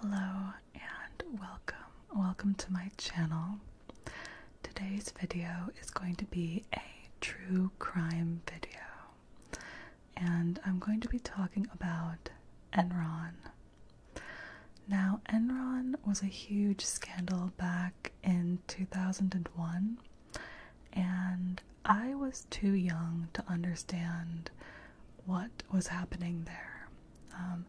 Hello and welcome. Welcome to my channel. Today's video is going to be a true crime video. And I'm going to be talking about Enron. Now, Enron was a huge scandal back in 2001, and I was too young to understand what was happening there. Um,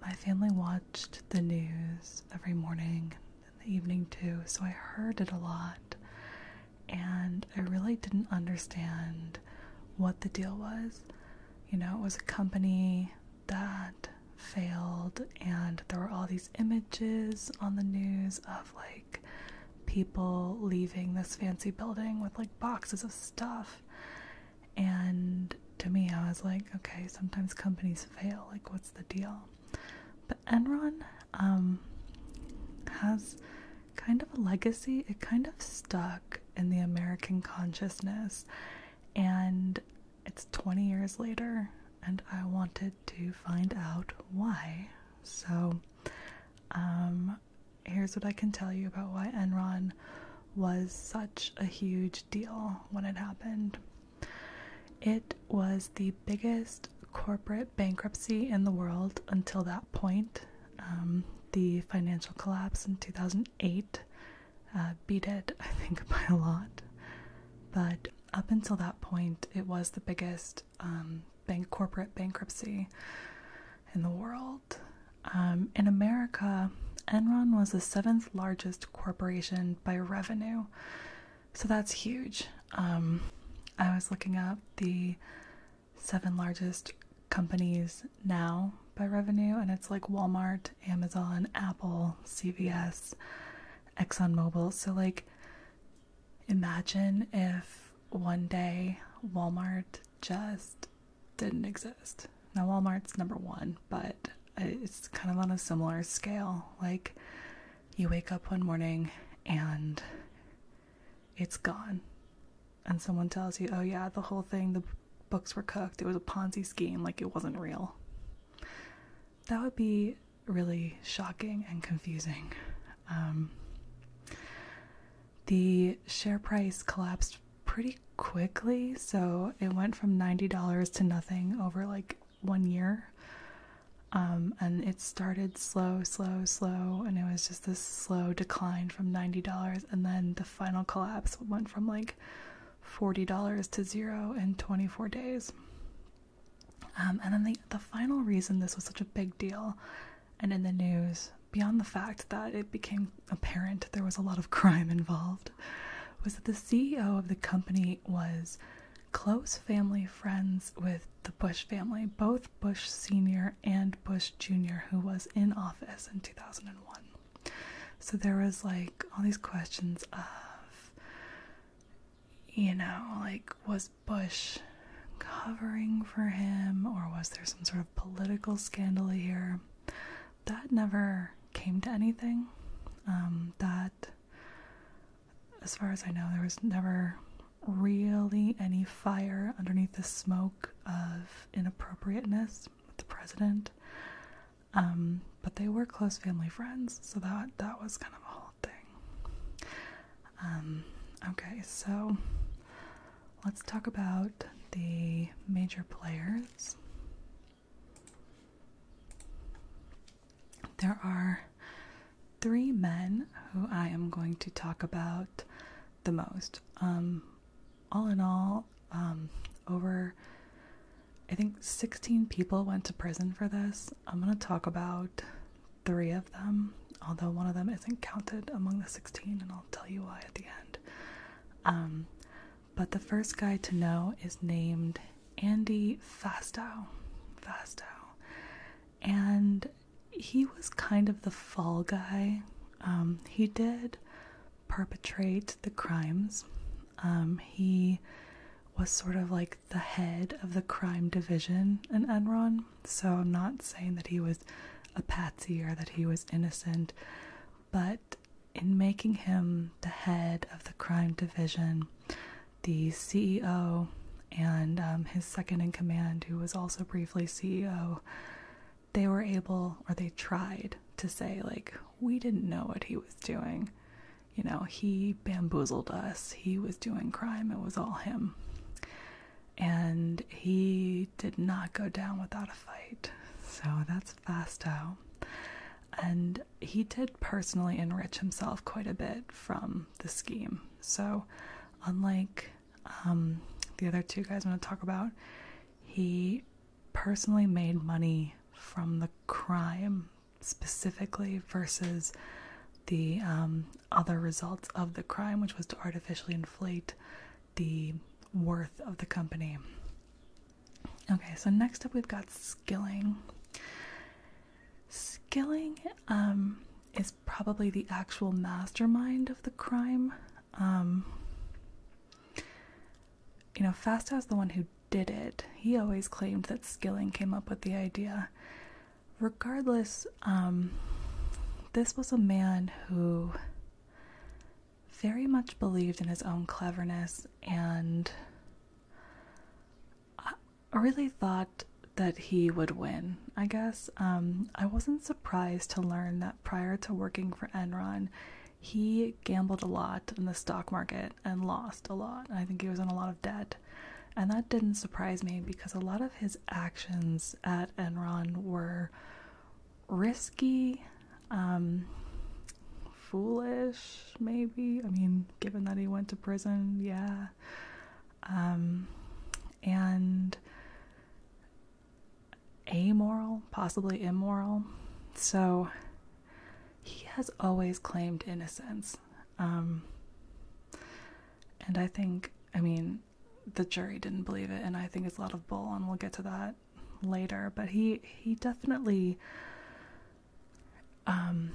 my family watched the news every morning and in the evening too, so I heard it a lot, and I really didn't understand what the deal was. You know, it was a company that failed, and there were all these images on the news of like people leaving this fancy building with like boxes of stuff. And to me, I was like, okay, sometimes companies fail. Like, what's the deal? But Enron um, has kind of a legacy. It kind of stuck in the American consciousness. And it's 20 years later, and I wanted to find out why. So, um, here's what I can tell you about why Enron was such a huge deal when it happened. It was the biggest corporate bankruptcy in the world until that point. Um, the financial collapse in 2008 uh, beat it, I think, by a lot. But up until that point, it was the biggest um, bank corporate bankruptcy in the world. Um, in America, Enron was the seventh largest corporation by revenue, so that's huge. Um, I was looking up the seven largest companies now by revenue, and it's like Walmart Amazon, Apple, CVS, ExxonMobil. So, like, imagine if one day Walmart just didn't exist. Now, Walmart's number one, but it's kind of on a similar scale. Like, you wake up one morning and it's gone. And someone tells you, oh, yeah, the whole thing, the books were cooked. It was a Ponzi scheme, like it wasn't real. That would be really shocking and confusing. Um, the share price collapsed pretty quickly, so it went from $90 to nothing over like one year. Um, and it started slow, slow, slow, and it was just this slow decline from $90. And then the final collapse went from like $40 to zero in 24 days. Um, and then the, the final reason this was such a big deal and in the news, beyond the fact that it became apparent there was a lot of crime involved, was that the CEO of the company was close family friends with the Bush family, both Bush Sr. and Bush Jr., who was in office in 2001. So there was like all these questions of you know, like, was Bush covering for him or was there some sort of political scandal here? That never came to anything. Um, that, as far as I know, there was never really any fire underneath the smoke of inappropriateness with the president. Um, but they were close family friends, so that that was kind of a whole thing. Um, okay, so let's talk about the major players. There are three men who I am going to talk about the most. Um, all in all, over I think 16 people went to prison for this. I'm going to talk about three of them, although one of them isn't counted among the 16, and I'll tell you why at the end. Um, but the first guy to know is named Andy Fastow. Fastow. And he was kind of the fall guy. Um, he did perpetrate the crimes. Um, he was sort of like the head of the crime division in Enron. So I'm not saying that he was a patsy or that he was innocent, but in making him the head of the crime division, the CEO and um, his second in command, who was also briefly CEO, they were able or they tried to say, like, we didn't know what he was doing you know, he bamboozled us. He was doing crime. It was all him. And he did not go down without a fight. So that's Fasto. And he did personally enrich himself quite a bit from the scheme. So, unlike um, the other two guys I'm going to talk about, he personally made money from the crime specifically versus the um, other results of the crime, which was to artificially inflate the worth of the company. Okay, so next up we've got skilling. Skilling um, is probably the actual mastermind of the crime. Um, you know, Fastow is the one who did it. He always claimed that Skilling came up with the idea. Regardless, um, this was a man who very much believed in his own cleverness and really thought that he would win, I guess. Um, I wasn't surprised to learn that prior to working for Enron, he gambled a lot in the stock market and lost a lot. I think he was in a lot of debt. And that didn't surprise me because a lot of his actions at Enron were risky, um, foolish, maybe. I mean, given that he went to prison, yeah. Um, and amoral, possibly immoral. So he has always claimed innocence. Um, and I think, I mean, the jury didn't believe it, and I think it's a lot of bull, and we'll get to that later. But he he definitely, um,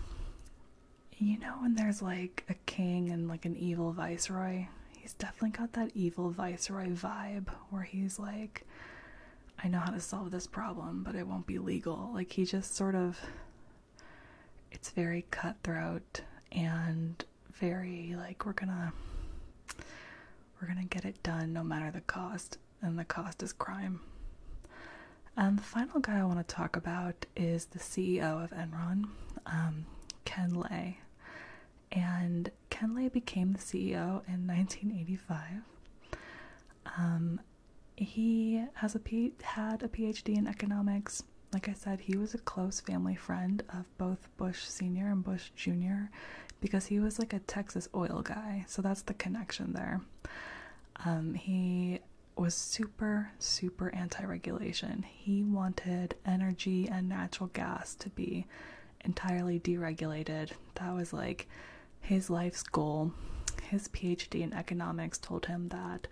you know, when there's like a king and like an evil viceroy, he's definitely got that evil viceroy vibe where he's like, I know how to solve this problem, but it won't be legal. Like he just sort of it's very cutthroat and very like we're gonna we're gonna get it done no matter the cost and the cost is crime and the final guy i want to talk about is the ceo of enron um, ken lay and ken lay became the ceo in 1985 um, he has a P- had a PhD in economics. Like I said, he was a close family friend of both Bush Sr. and Bush Jr. because he was like a Texas oil guy. So that's the connection there. Um, he was super, super anti regulation. He wanted energy and natural gas to be entirely deregulated. That was like his life's goal. His PhD in economics told him that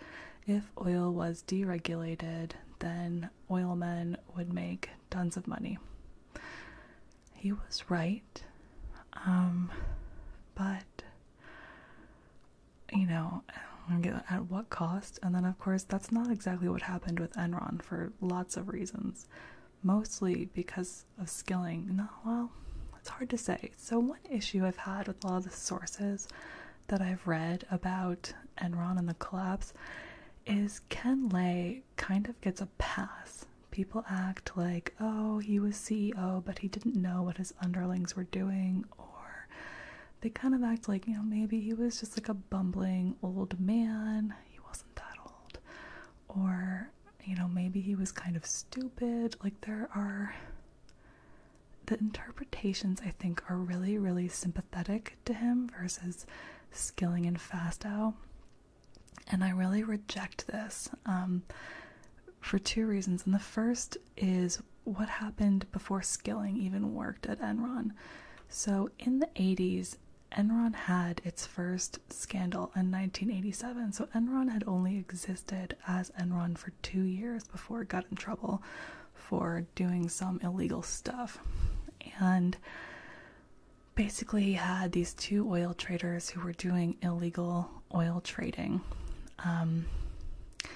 if oil was deregulated, then oilmen would make tons of money. He was right, um, but you know, at what cost? And then, of course, that's not exactly what happened with Enron for lots of reasons. Mostly because of skilling. No, well, it's hard to say. So, one issue I've had with a lot of the sources that I've read about Enron and the collapse is Ken Lay kind of gets a pass. People act like, oh, he was CEO, but he didn't know what his underlings were doing, or they kind of act like, you know, maybe he was just like a bumbling old man. He wasn't that old. Or, you know, maybe he was kind of stupid. Like, there are the interpretations I think are really, really sympathetic to him versus Skilling and Fastow. And I really reject this um, for two reasons. And the first is what happened before Skilling even worked at Enron. So in the 80s, Enron had its first scandal in 1987. So Enron had only existed as Enron for two years before got in trouble for doing some illegal stuff. And basically had these two oil traders who were doing illegal oil trading. Um, I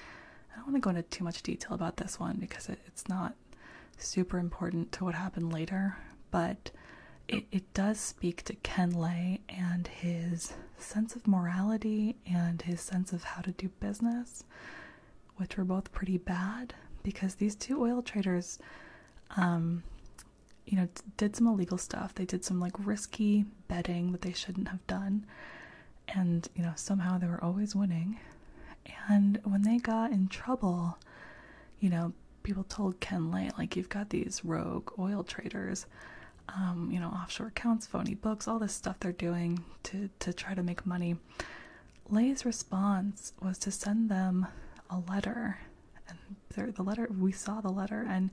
don't want to go into too much detail about this one because it's not super important to what happened later, but it, it does speak to Ken Lay and his sense of morality and his sense of how to do business, which were both pretty bad because these two oil traders, um, you know, did some illegal stuff. They did some like risky betting that they shouldn't have done, and you know, somehow they were always winning. And when they got in trouble, you know, people told Ken Lay, like, you've got these rogue oil traders. Um, you know, offshore accounts, phony books, all this stuff they're doing to to try to make money. Lay's response was to send them a letter, and the letter we saw the letter, and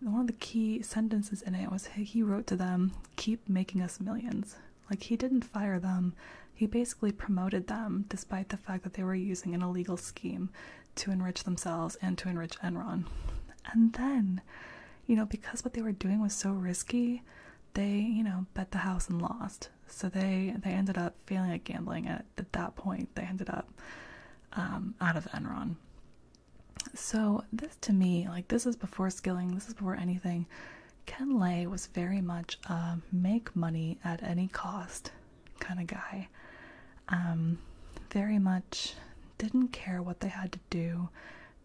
one of the key sentences in it was he wrote to them, "Keep making us millions." Like he didn't fire them, he basically promoted them, despite the fact that they were using an illegal scheme to enrich themselves and to enrich Enron. And then you know, because what they were doing was so risky, they, you know, bet the house and lost. So they they ended up failing at gambling. At, that point, they ended up um, out of Enron. So this to me, like this is before skilling, this is before anything. Ken Lay was very much a make money at any cost kind of guy. Um, very much didn't care what they had to do,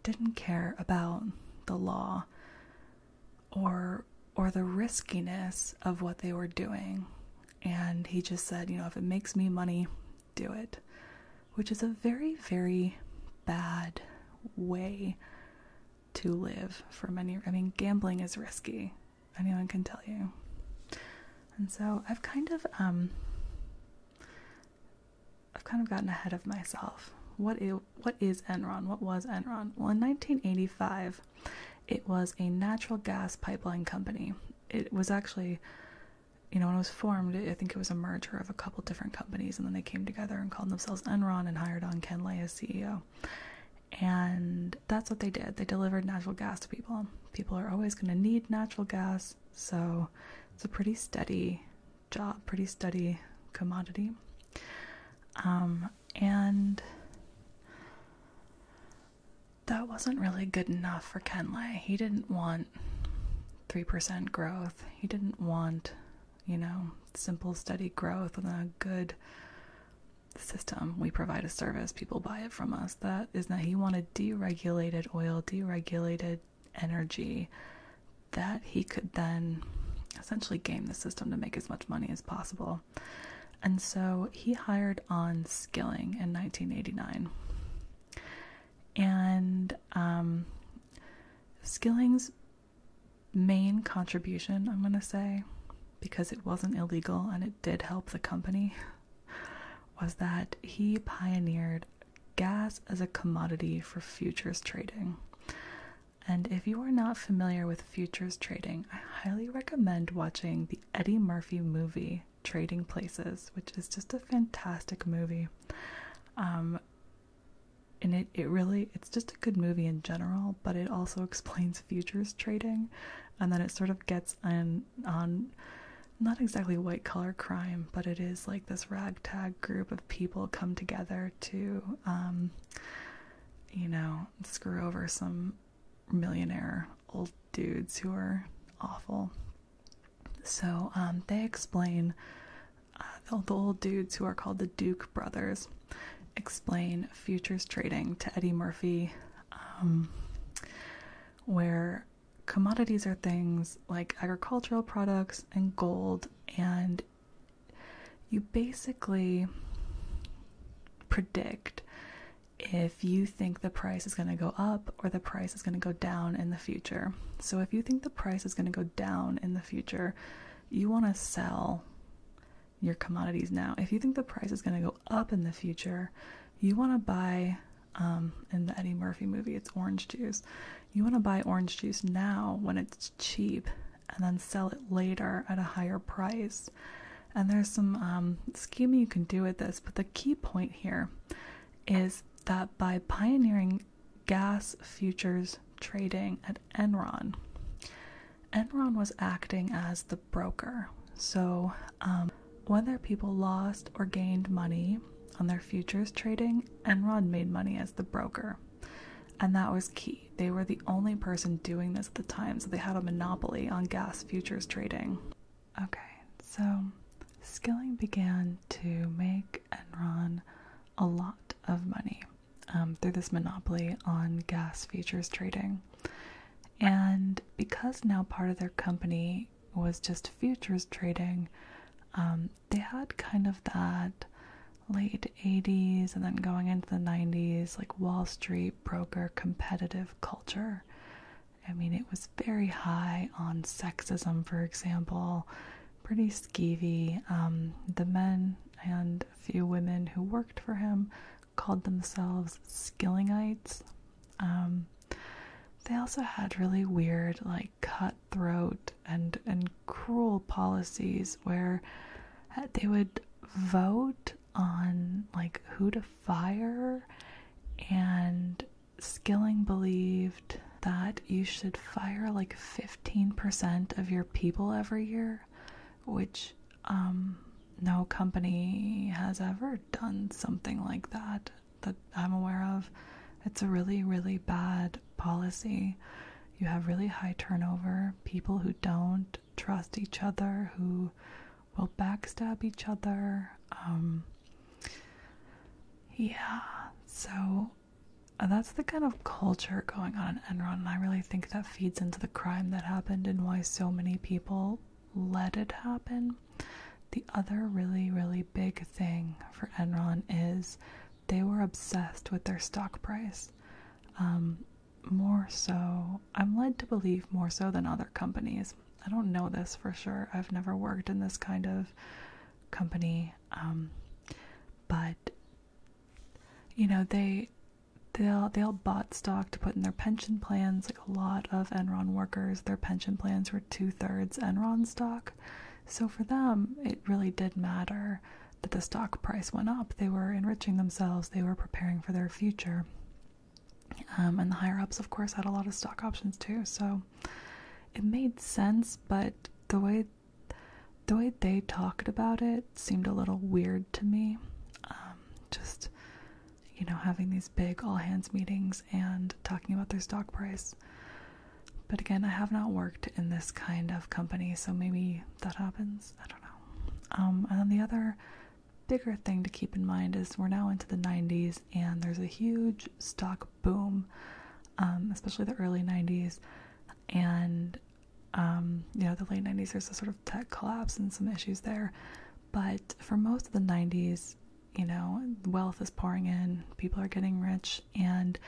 didn't care about the law or or the riskiness of what they were doing. And he just said, you know, if it makes me money, do it. Which is a very, very bad way to live for many. I mean, gambling is risky. Anyone can tell you. And so I've kind of um I've kind of gotten ahead of myself. What is, Enron? What was Enron? Well, in 1985, it was a natural gas pipeline company. It was actually, you know, when it was formed, I think it was a merger of a couple different companies, and then they came together and called themselves Enron and hired on Ken Lay as CEO. And that's what they did. They delivered natural gas to people. People are always going to need natural gas, so it's a pretty steady job, pretty steady commodity. Um, and that wasn't really good enough for Kenley. He didn't want 3% growth. He didn't want, you know, simple, steady growth and a good system. We provide a service, people buy it from us. That is that he wanted deregulated oil, deregulated energy that he could then essentially game the system to make as much money as possible. And so he hired on Skilling in 1989. And um, Skilling's main contribution, I'm going to say, because it wasn't illegal and it did help the company, was that he pioneered gas as a commodity for futures trading. And if you are not familiar with futures trading, I highly recommend watching the Eddie Murphy movie Trading Places, which is just a fantastic movie. Um, and it, it really it's just a good movie in general, but it also explains futures trading and then it sort of gets in on not exactly white collar crime, but it is like this ragtag group of people come together to, um, you know, screw over some millionaire old dudes who are awful. So um, they explain, uh, the, old dudes who are called the Duke brothers explain futures trading to Eddie Murphy, um, where commodities are things like agricultural products and gold, and you basically predict if you think the price is going to go up or the price is going to go down in the future. So, if you think the price is going to go down in the future, you want to sell your commodities now. If you think the price is going to go up in the future, you want to buy. Um, in the Eddie Murphy movie, it's orange juice you want to buy orange juice now when it's cheap and then sell it later at a higher price. And there's some um, scheming you can do with this, but the key point here is that by pioneering gas futures trading at Enron, Enron was acting as the broker. So, um, whether people lost or gained money on their futures trading, Enron made money the broker. And that was key. They were the only person doing this at the time, so they had a monopoly on gas futures trading. Okay, so Skilling began to make Enron a lot of money um, through this monopoly on gas futures trading. And because now part of their company was just futures trading, um, they had kind of that late 80s and then going into the 90s, like Wall Street broker competitive culture. I mean, it was very high on sexism, for example, pretty skeevy. Um, the men and a few women who worked for him called themselves Skillingites. Um, they also had really weird, like, cutthroat and and cruel policies where uh, they would vote on like who to fire and Skilling believed that you should fire like 15% of your people every year, which um, no company has ever done something like that that I'm aware of. It's a really, really bad policy. You have really high turnover, people who don't trust each other, who will backstab each other. Um, yeah, so uh, that's the kind of culture going on in Enron, I really think that feeds into the crime that happened and why so many people let it happen. The other really, really big thing for Enron is they were obsessed with their stock price. Um, more so, I'm led to believe more so than other companies. I don't know this for sure. I've never worked in this kind of company, um, but you know they they they all bought stock to put in their pension plans. Like a lot of Enron workers, their pension plans were two thirds Enron stock, so for them, it really did matter that the stock price went up. They were enriching themselves, they were preparing for their future. Um, and the higher ups, of course, had a lot of stock options too. So it made sense, but the way the way they talked about it seemed a little weird to me. Um, just you know, having these big all hands meetings and talking about their stock price. But again, I have not worked in this kind of company, so maybe that happens. I don't know. Um, and then the other bigger thing to keep in mind is we're now into the 90s and there's a huge stock boom, um, especially the early 90s. And, um, you know, the late 90s, there's a sort of tech collapse and some issues there. But for most of the 90s, you know, wealth is pouring in, people are getting rich, and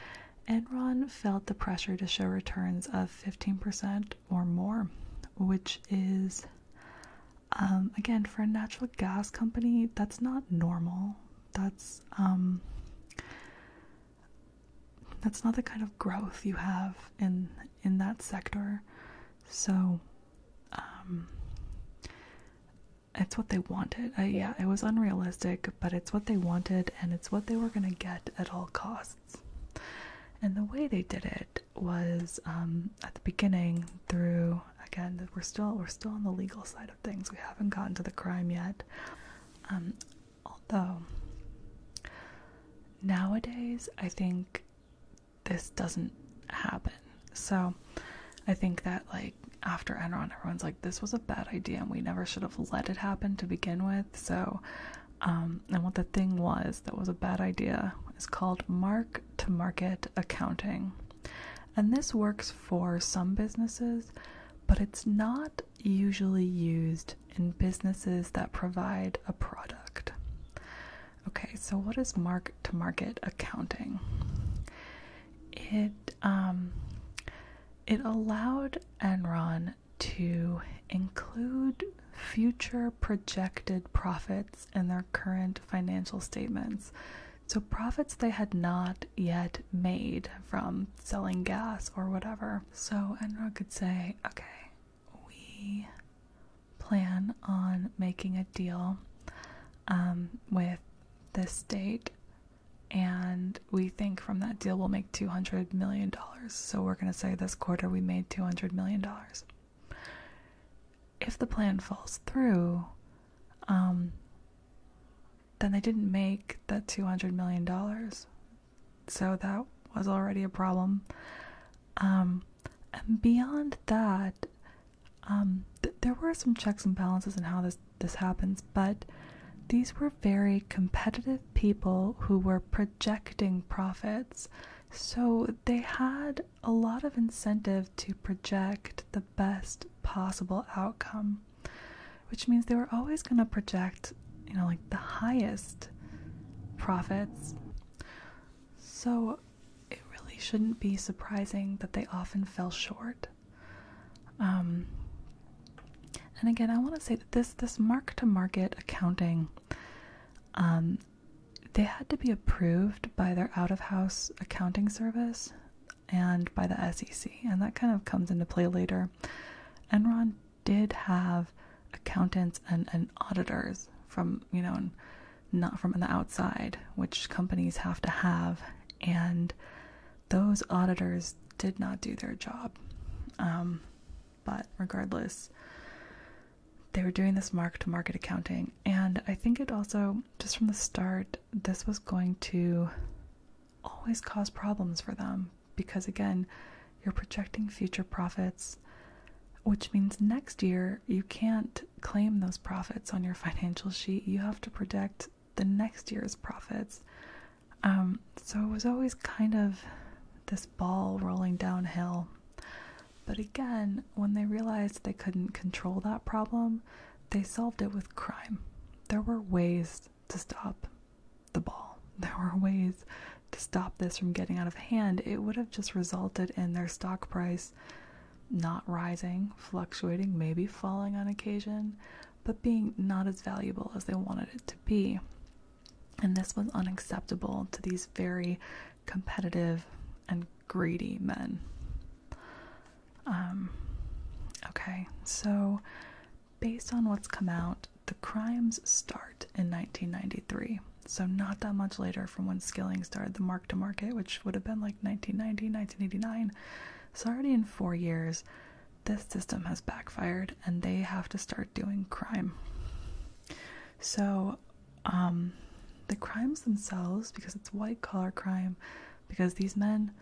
Enron felt the pressure to show returns of 15% or more, which is, um, again, for a natural gas company, that's not normal. That's um, that's not the kind of growth you have in in that sector. So, um, it's what they wanted. yeah, it was unrealistic but it's what they wanted and it's what they were going to get at all costs. And the way they did it was um, at the beginning through again we're still we're still on the legal side of things. We haven't gotten to the crime yet. Um, although nowadays I think this doesn't happen. So I think that like after Enron, everyone's like, this was a bad idea and we never should have let it happen to begin with. So, um, and what the thing was that was a bad idea is called mark to market accounting. And this works for some businesses, but it's not usually used in businesses that provide a product. Okay, so what is mark to market accounting? It um, it allowed Enron to include future projected profits in their current financial statements. So, profits they had not yet made from selling gas or whatever. So, Enron could say, okay, we plan on making a deal um, with this state and we think from that deal we'll make 200 million dollars so we're going to say this quarter we made 200 million dollars if the plan falls through um then they didn't make that 200 million dollars so that was already a problem um and beyond that um there were some checks and balances in how this this happens, but these were very competitive people who were projecting profits. So they had a lot of incentive to project the best possible outcome, which means they were always going to project, you know, like the highest profits. So it really shouldn't be surprising that they often fell short. Um, and again, I want to say that this this mark to market accounting, um, they had to be approved by their out of house accounting service and by the SEC, and that kind of comes into play later. Enron did have accountants and auditors from you know not from the outside, which companies have to have, and those auditors did not do their job. Um, but regardless, they were doing this mark to market accounting. And I think it also, just from the start, this was going to always cause problems for them because, again, you're projecting future profits, which means next year you can't claim those profits on your financial sheet. You have to project the next year's profits. Um, so it was always kind of this ball rolling downhill. But again, when they realized they couldn't control that problem, they solved it with crime. There were ways to stop the ball, there were ways to stop this from getting out of hand. It would have just resulted in their stock price not rising, fluctuating, maybe falling on occasion, but being not as valuable as they wanted it to be. And this was unacceptable to these very competitive and greedy men. Um, okay, so based on what's come out, the crimes start in 1993. So, not that much later from when Skilling started the mark to market, which would have been like 1990, 1989. So, already in four years, this system has backfired and they have to start doing crime. So, um, the crimes themselves, because it's white collar crime, because these men,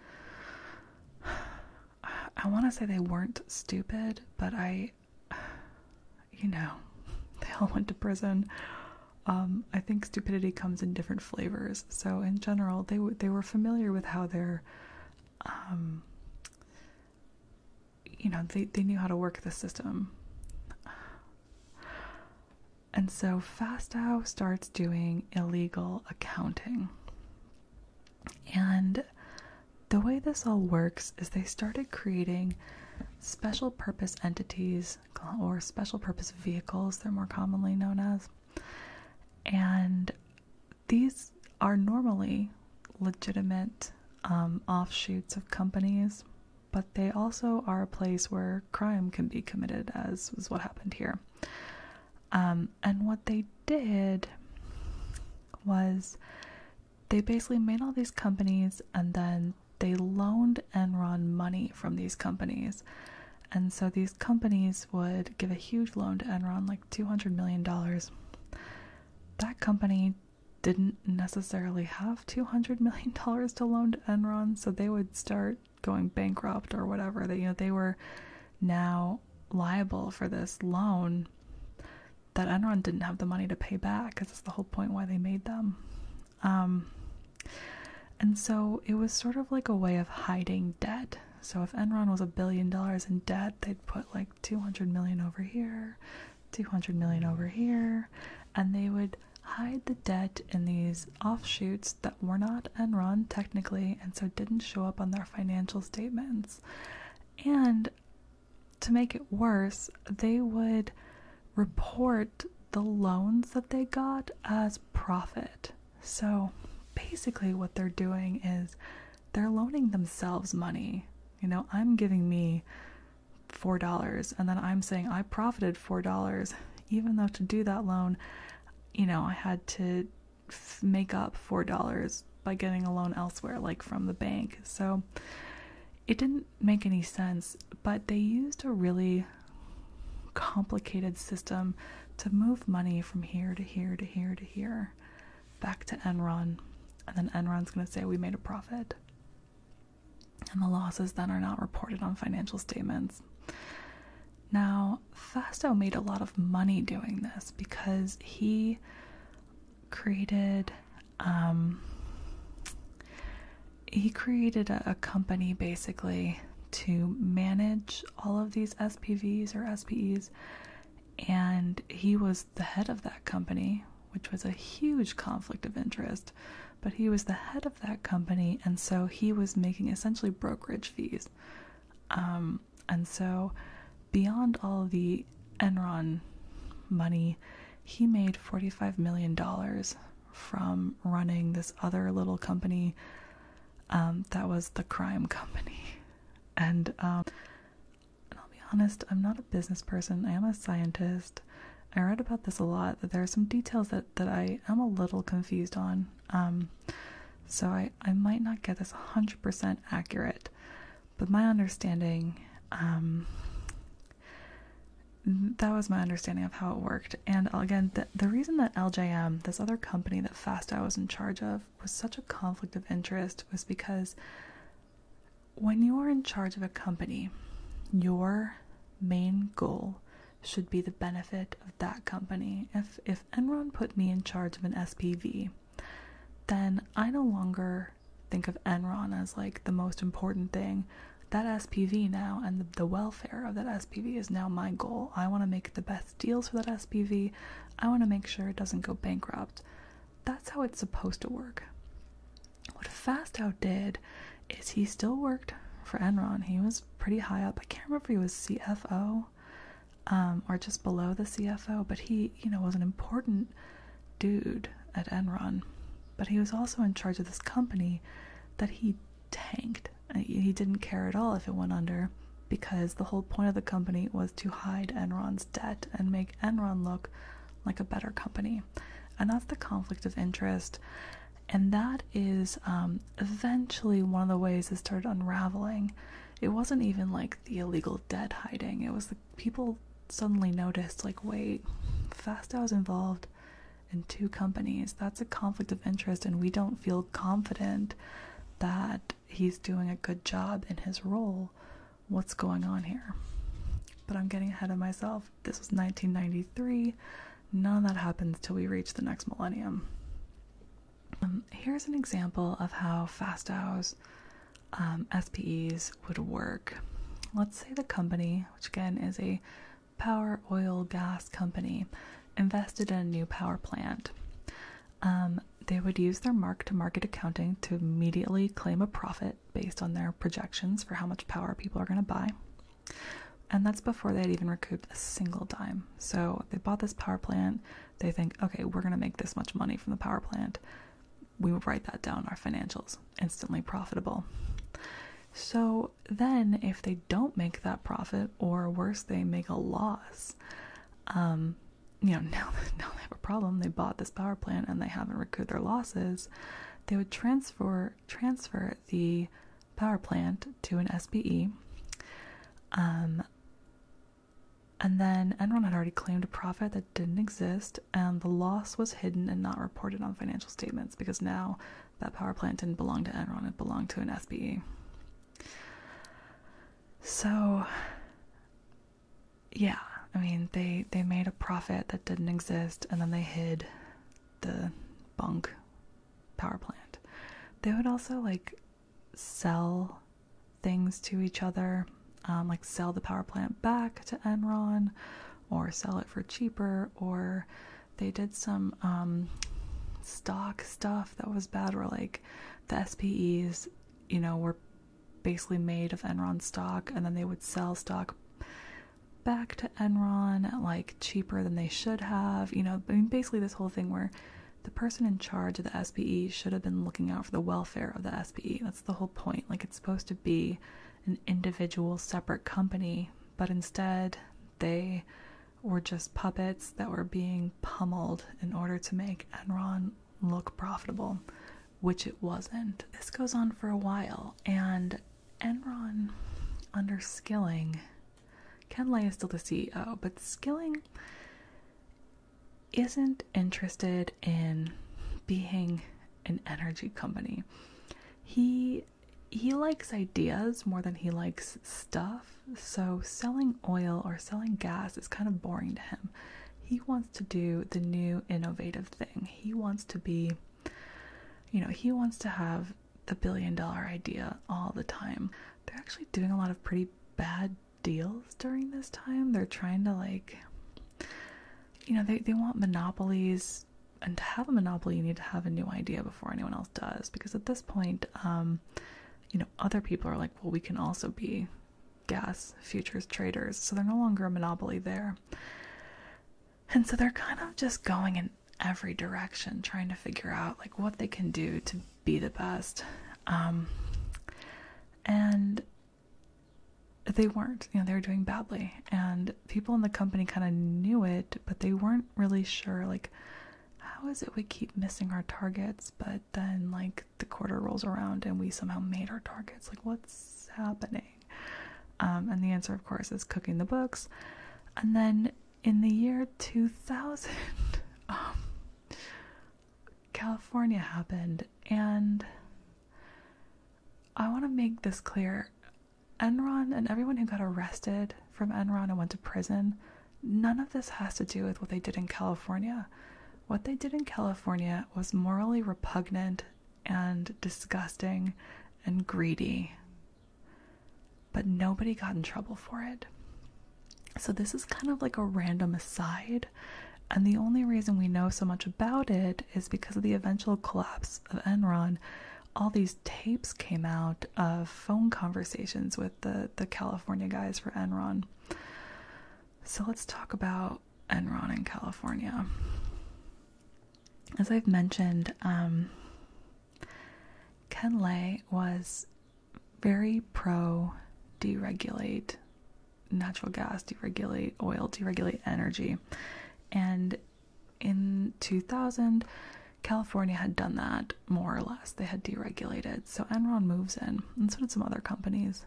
I want to say they weren't stupid, but I, you know, they all went to prison. Um, I think stupidity comes in different flavors. So in general, they they were familiar with how their um, you know, they, they knew how to work the system. And so Fastow starts doing illegal accounting. And the way this all works is they started creating special purpose entities or special purpose vehicles, they're more commonly known as. And these are normally legitimate um, offshoots of companies, but they also are a place where crime can be committed, as was what happened here. Um, and what they did was they basically made all these companies and then they loaned Enron money from these companies. And so these companies would give a huge loan to Enron, like 200 million dollars that company didn't necessarily have 200 million dollars to loan to Enron so they would start going bankrupt or whatever they you know they were now liable for this loan that Enron didn't have the money to pay back cuz that's the whole point why they made them um, and so it was sort of like a way of hiding debt so if Enron was a billion dollars in debt, they'd put like 200 million over here, 200 million hmm. over here, and they would hide the debt in these offshoots that were not Enron technically and so didn't show up on their financial statements. And to make it worse, they would report the loans that they got as profit. So basically, what they're doing is they're loaning themselves money. You know, I'm giving me $4 and then I'm saying I profited $4 even though to do that loan, you know, I had to make up $4 by getting a loan elsewhere like from the bank. So it didn't make any sense, but they used a really complicated system to move money from here to here to here to here back to Enron, and then Enron's going to say we made a profit. And the losses then are not reported on financial statements. Now, Fasto made a lot of money doing this because he created um, he created a, a company basically to manage all of these SPVs or SPEs and he was the head of that company, which was a huge conflict of interest. But he was the head of that company, and so he was making essentially brokerage fees. Um, and so, beyond all the Enron money, he made $45 million from running this other little company um, that was the crime company. And um, I'll be honest, I'm not a business person, I am a scientist. I read about this a lot, that there are some details that, that I am a little confused on. Um, so I, I might not get this 100% accurate, but my understanding, um, that was my understanding of how it worked. And again, the, the reason that LJM, this other company that FASTA was in charge of, was such a conflict of interest was because when you are in charge of a company, your main goal should be the benefit of that company. If if Enron put me in charge of an SPV, then I no longer think of Enron as like the most important thing. That SPV now and the, the welfare of that SPV is now my goal. I want to make the best deals for that SPV. I want to make sure it doesn't go bankrupt. That's how it's supposed to work. What Fastow did is he still worked for Enron. He was pretty high up. I can't remember if he was CFO um, or just below the CFO, but he, you know, was an important dude at Enron. But he was also in charge of this company that he tanked. He didn't care at all if it went under because the whole point of the company was to hide Enron's debt and make Enron look like a better company. And that's the conflict of interest. And that is um, eventually one of the ways it started unraveling. It wasn't even like the illegal debt hiding, it was the people suddenly noticed like, wait, Fastow is involved in two companies. That's a conflict of interest, and we don't feel confident that he's doing a good job in his role. What's going on here? But I'm getting ahead of myself. This was 1993. None of that happens till we reach the next millennium. Um, here's an example of how Fastows um, SPEs would work. Let's say the company, which again is a power, oil, gas company, invested in a new power plant. Um, they would use their mark to market accounting to immediately claim a profit based on their projections for how much power people are going to buy. And that's before they had even recouped a single dime. So they bought this power plant. They think, okay, we're going to make this much money from the power plant. We write that down, our financials, instantly profitable. So then, if they don't make that profit, or worse, they make a loss, um, you know, now now they have a problem, they bought this power plant and they haven't recouped their losses, they would transfer transfer the power plant to an SPE. Um, and then Enron had already claimed a profit that didn't exist, and the loss was hidden and not reported on financial statements because now that power plant didn't belong to Enron, it belonged to an SPE. So yeah, I mean they they made a profit that didn't exist and then they hid the bunk power plant. They would also like sell things to each other, um, like sell the power plant back to Enron or sell it for cheaper or they did some um, stock stuff that was bad where like the SPEs, you know, were basically made of Enron stock, and then they would sell stock back to Enron like cheaper than they should have. You know, I mean, basically, this whole thing where the person in charge of the SPE should have been looking out for the welfare of the SPE. That's the whole point. Like, it's supposed to be an individual, separate company, but instead, they were just puppets that were being pummeled in order to make Enron look profitable, which it wasn't. This goes on for a while, and Enron under Skilling, Ken Lay is still the CEO, but Skilling isn't interested in being an energy company. He he likes ideas more than he likes stuff, so selling oil or selling gas is kind of boring to him he wants to do the new innovative thing. He wants to be, you know, he wants to have the billion dollar idea all the time. They're actually doing a lot of pretty bad deals during this time. They're trying to, like, you know, they, they want monopolies. And to have a monopoly, you need to have a new idea before anyone else does. Because at this point, um, you know, other people are like, well, we can also be gas futures traders, so they're no longer a monopoly there. And so they're kind of just going in every direction, trying to figure out like what they can do to be the best. Um, and they weren't, you know, they were doing badly. And people in the company kind of knew it, but they weren't really sure, like, how is it we keep missing our targets, but then, like, the quarter rolls around and we somehow made our targets. Like, what's happening? Um, and the answer, of course, is cooking the books. And then in the year 2000, um, California happened, and I want to make this clear. Enron and everyone who got arrested from Enron and went to prison, none of this has to do with what they did in California. What they did in California was morally repugnant and disgusting and greedy. But nobody got in trouble for it. So, this is kind of like a random aside, and the only reason we know so much about it is because of the eventual collapse of Enron. All these tapes came out of phone conversations with the, the California guys for Enron. So, let's talk about Enron in California. As I've mentioned, um, Ken Lay was very pro deregulate natural gas, deregulate oil, deregulate energy. And in 2000, California had done that more or less. They had deregulated. So Enron moves in, and so did some other companies.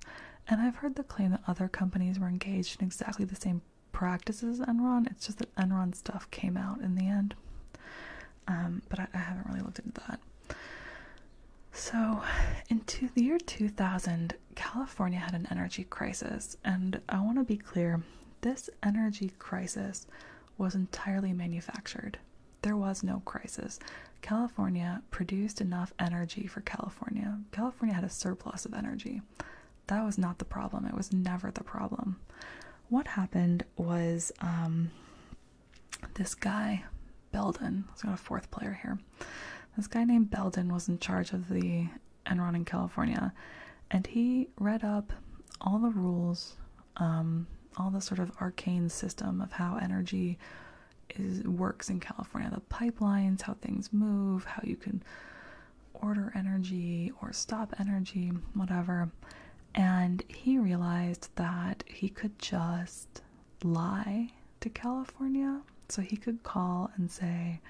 And I've heard the claim that other companies were engaged in exactly the same practices as Enron. It's just that Enron stuff came out in the end. Um, but I, haven't really looked into that. So, in the year 2000, California had an energy crisis. And I want to be clear this energy crisis was entirely manufactured. There was no crisis. California produced enough energy for California. California had a surplus of energy. That was not the problem. It was never the problem. What happened was um, this guy, Belden, let's go to fourth player here. This guy named Belden was in charge of the Enron in California, and he read up all the rules, um, all the sort of arcane system of how energy is works in California, the pipelines, how things move, how you can order energy or stop energy, whatever. And he realized that he could just lie to California. So he could call and say,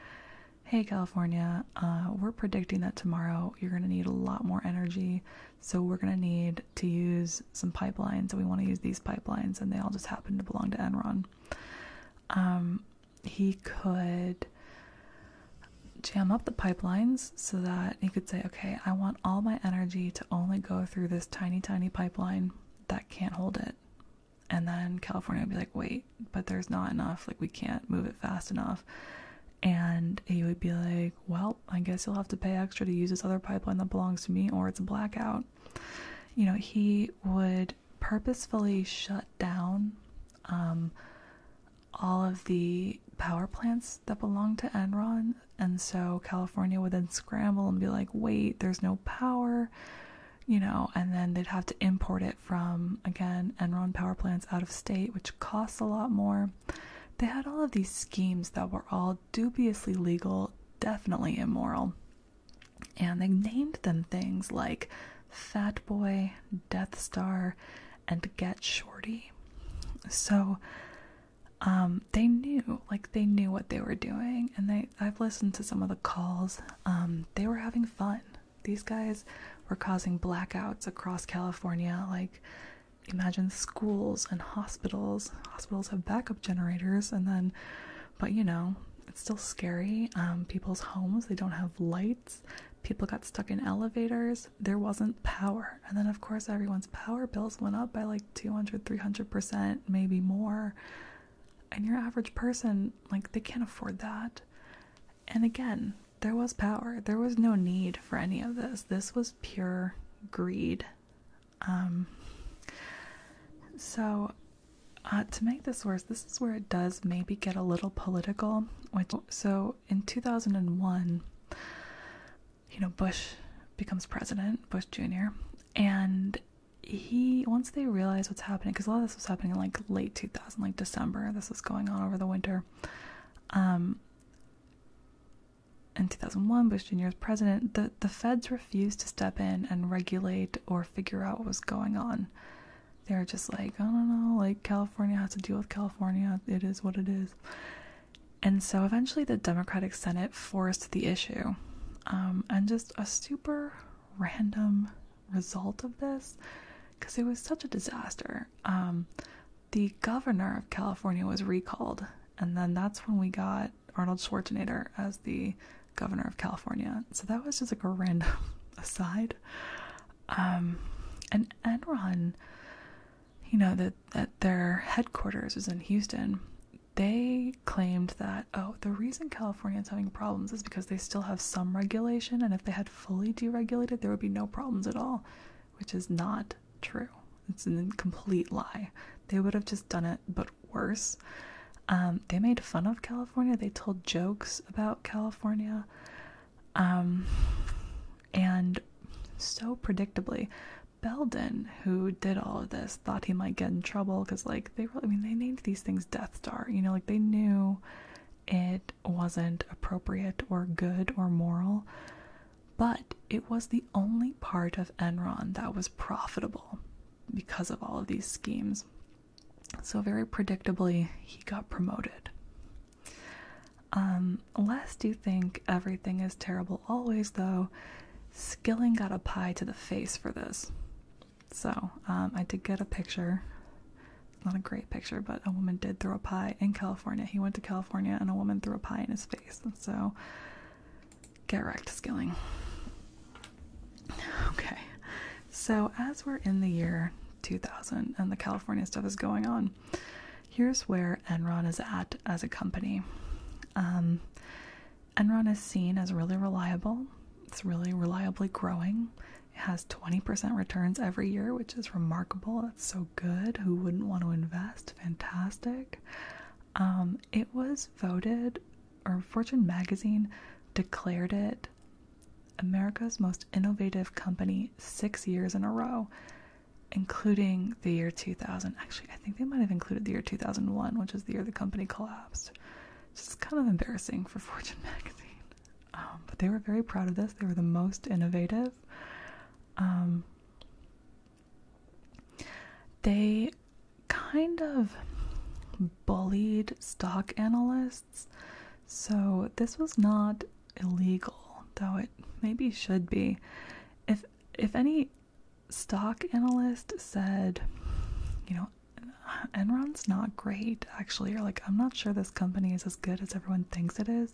Hey, California, uh, we're predicting that tomorrow you're going to need a lot more energy. So we're going to need to use some pipelines. And we want to use these pipelines. And they all just happen to belong to Enron. Um, he could jam up the pipelines so that he could say, okay, I want all my energy to only go through this tiny, tiny pipeline that can't hold it. And then California would be like, wait, but there's not enough. Like, we can't move it fast enough. And he would be like, well, I guess you'll have to pay extra to use this other pipeline that belongs to me, or it's a blackout. You know, he would purposefully shut down um, all of the power plants that belonged to Enron. And so California would then scramble and be like, wait, there's no power, you know, and then they'd have to import it from, again, Enron power plants out of state, which costs a lot more. They had all of these schemes that were all dubiously legal, definitely immoral. And they named them things like Fat Boy, Death Star, and Get Shorty. So um, they knew, like they knew what they were doing, and they I've listened to some of the calls. Um, they were having fun. These guys were causing blackouts across California, like imagine schools and hospitals. Hospitals have backup generators and then but you know, it's still scary. Um, people's homes, they don't have lights. People got stuck in elevators. There wasn't power. And then, of course, everyone's power bills went up by like 200, 300%, maybe more. And your average person, like, they can't afford that. And again, there was power. There was no need for any of this. This was pure greed. Um, so uh, to make this worse, this is where it does maybe get a little political. Which, so in 2001, you know, Bush becomes president, Bush Jr., and he, once they realized what's happening, because a lot of this was happening in like late 2000, like December, this was going on over the winter. Um, in 2001, Bush Jr. was president, the, the feds refused to step in and regulate or figure out what was going on. They were just like, I don't know, like California has to deal with California. It is what it is. And so eventually the Democratic Senate forced the issue. Um, and just a super random result of this, because it was such a disaster. Um, the governor of California was recalled. And then that's when we got Arnold Schwarzenegger as the governor of California. So that was just like a random aside. Um, and Enron, you know, that that their headquarters was in Houston. They claimed that oh, the reason California is having problems is because they still have some regulation, and if they had fully deregulated, there would be no problems at all, which is not true. It's a complete lie. They would have just done it, but worse. Um, they made fun of California. They told jokes about California. Um, and so predictably, Belden, who did all of this, thought he might get in trouble because, like, they really, I mean, they named these things Death Star. You know, like, they knew it wasn't appropriate or good or moral, but it was the only part of Enron that was profitable because of all of these schemes. So, very predictably, he got promoted. Um, you think everything is terrible always, though, Skilling got a pie to the face for this. So, um, I did get a picture. not a great picture, but a woman did throw a pie in California. He went to California and a woman threw a pie in his face. So, get wrecked, Skilling. Okay, so as we're in the year 2000 and the California stuff is going on, here's where Enron is at as a company. Um, Enron is seen as really reliable, it's really reliably growing. It has 20% returns every year, which is remarkable. That's so good. Who wouldn't want to invest? Fantastic. Um, it was voted or Fortune magazine declared it America's most innovative company six years in a row, including the year 2000. Actually, I think they might have included the year 2001, which is the year the company collapsed. It's kind of embarrassing for Fortune magazine. Um, but they were very proud of this. They were the most innovative. Um, they kind of bullied stock analysts, so this was not illegal, though it maybe should be. If if any stock analyst said, you know, Enron's not great, actually, or like, I'm not sure this company is as good as everyone thinks it is,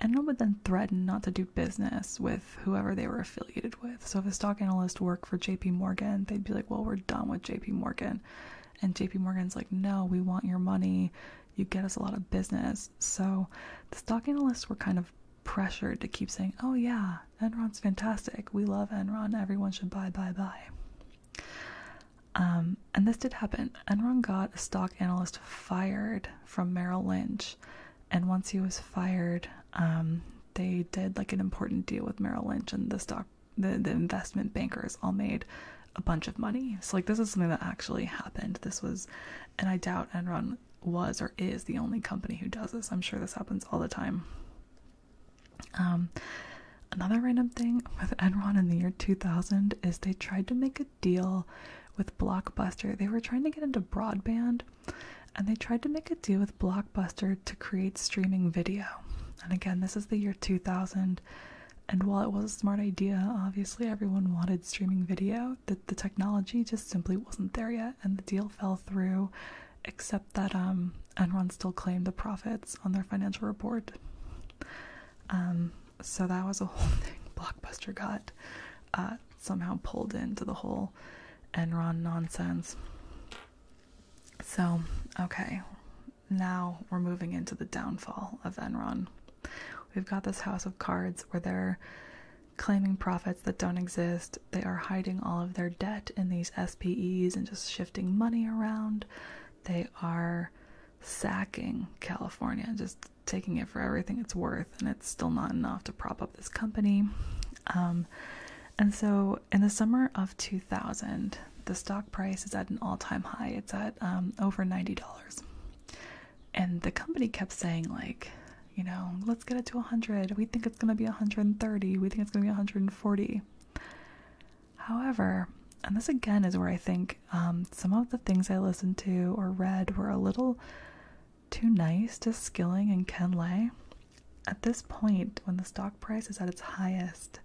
Enron would then threaten not to do business with whoever they were affiliated with. So if a stock analyst worked for JP Morgan, they'd be like, well, we're done with JP Morgan. And JP Morgan's like, no, we want your money. You get us a lot of business. So the stock analysts were kind of pressured to keep saying, oh, yeah, Enron's fantastic. We love Enron. Everyone should buy, buy, buy. Um, and this did happen. Enron got a stock analyst fired from Merrill Lynch. And once he was fired, um, they did like an important deal with Merrill Lynch, and the stock the the investment bankers all made a bunch of money. So like this is something that actually happened. This was, and I doubt Enron was or is the only company who does this. I'm sure this happens all the time. Um, another random thing with Enron in the year 2000 is they tried to make a deal with Blockbuster. They were trying to get into broadband, and they tried to make a deal with Blockbuster to create streaming video. And again, this is the year 2000. And while it was a smart idea, obviously everyone wanted streaming video, the, the technology just simply wasn't there yet, and the deal fell through, except that um, Enron still claimed the profits on their financial report. Um, so that was a whole thing. Blockbuster got uh, somehow pulled into the whole Enron nonsense. So, okay, now we're moving into the downfall of Enron. We've got this house of cards where they're claiming profits that don't exist. They are hiding all of their debt in these SPEs and just shifting money around. They are sacking California, just taking it for everything it's worth, and it's still not enough to prop up this company. Um, and so in the summer of 2000, the stock price is at an all time high. It's at um, over $90. And the company kept saying, like, you know, let's get it to 100. We think it's going to be 130. We think it's going to be 140. However, and this again is where I think um, some of the things I listened to or read were a little too nice to Skilling and Ken Lay at this point, when the stock price is at its highest,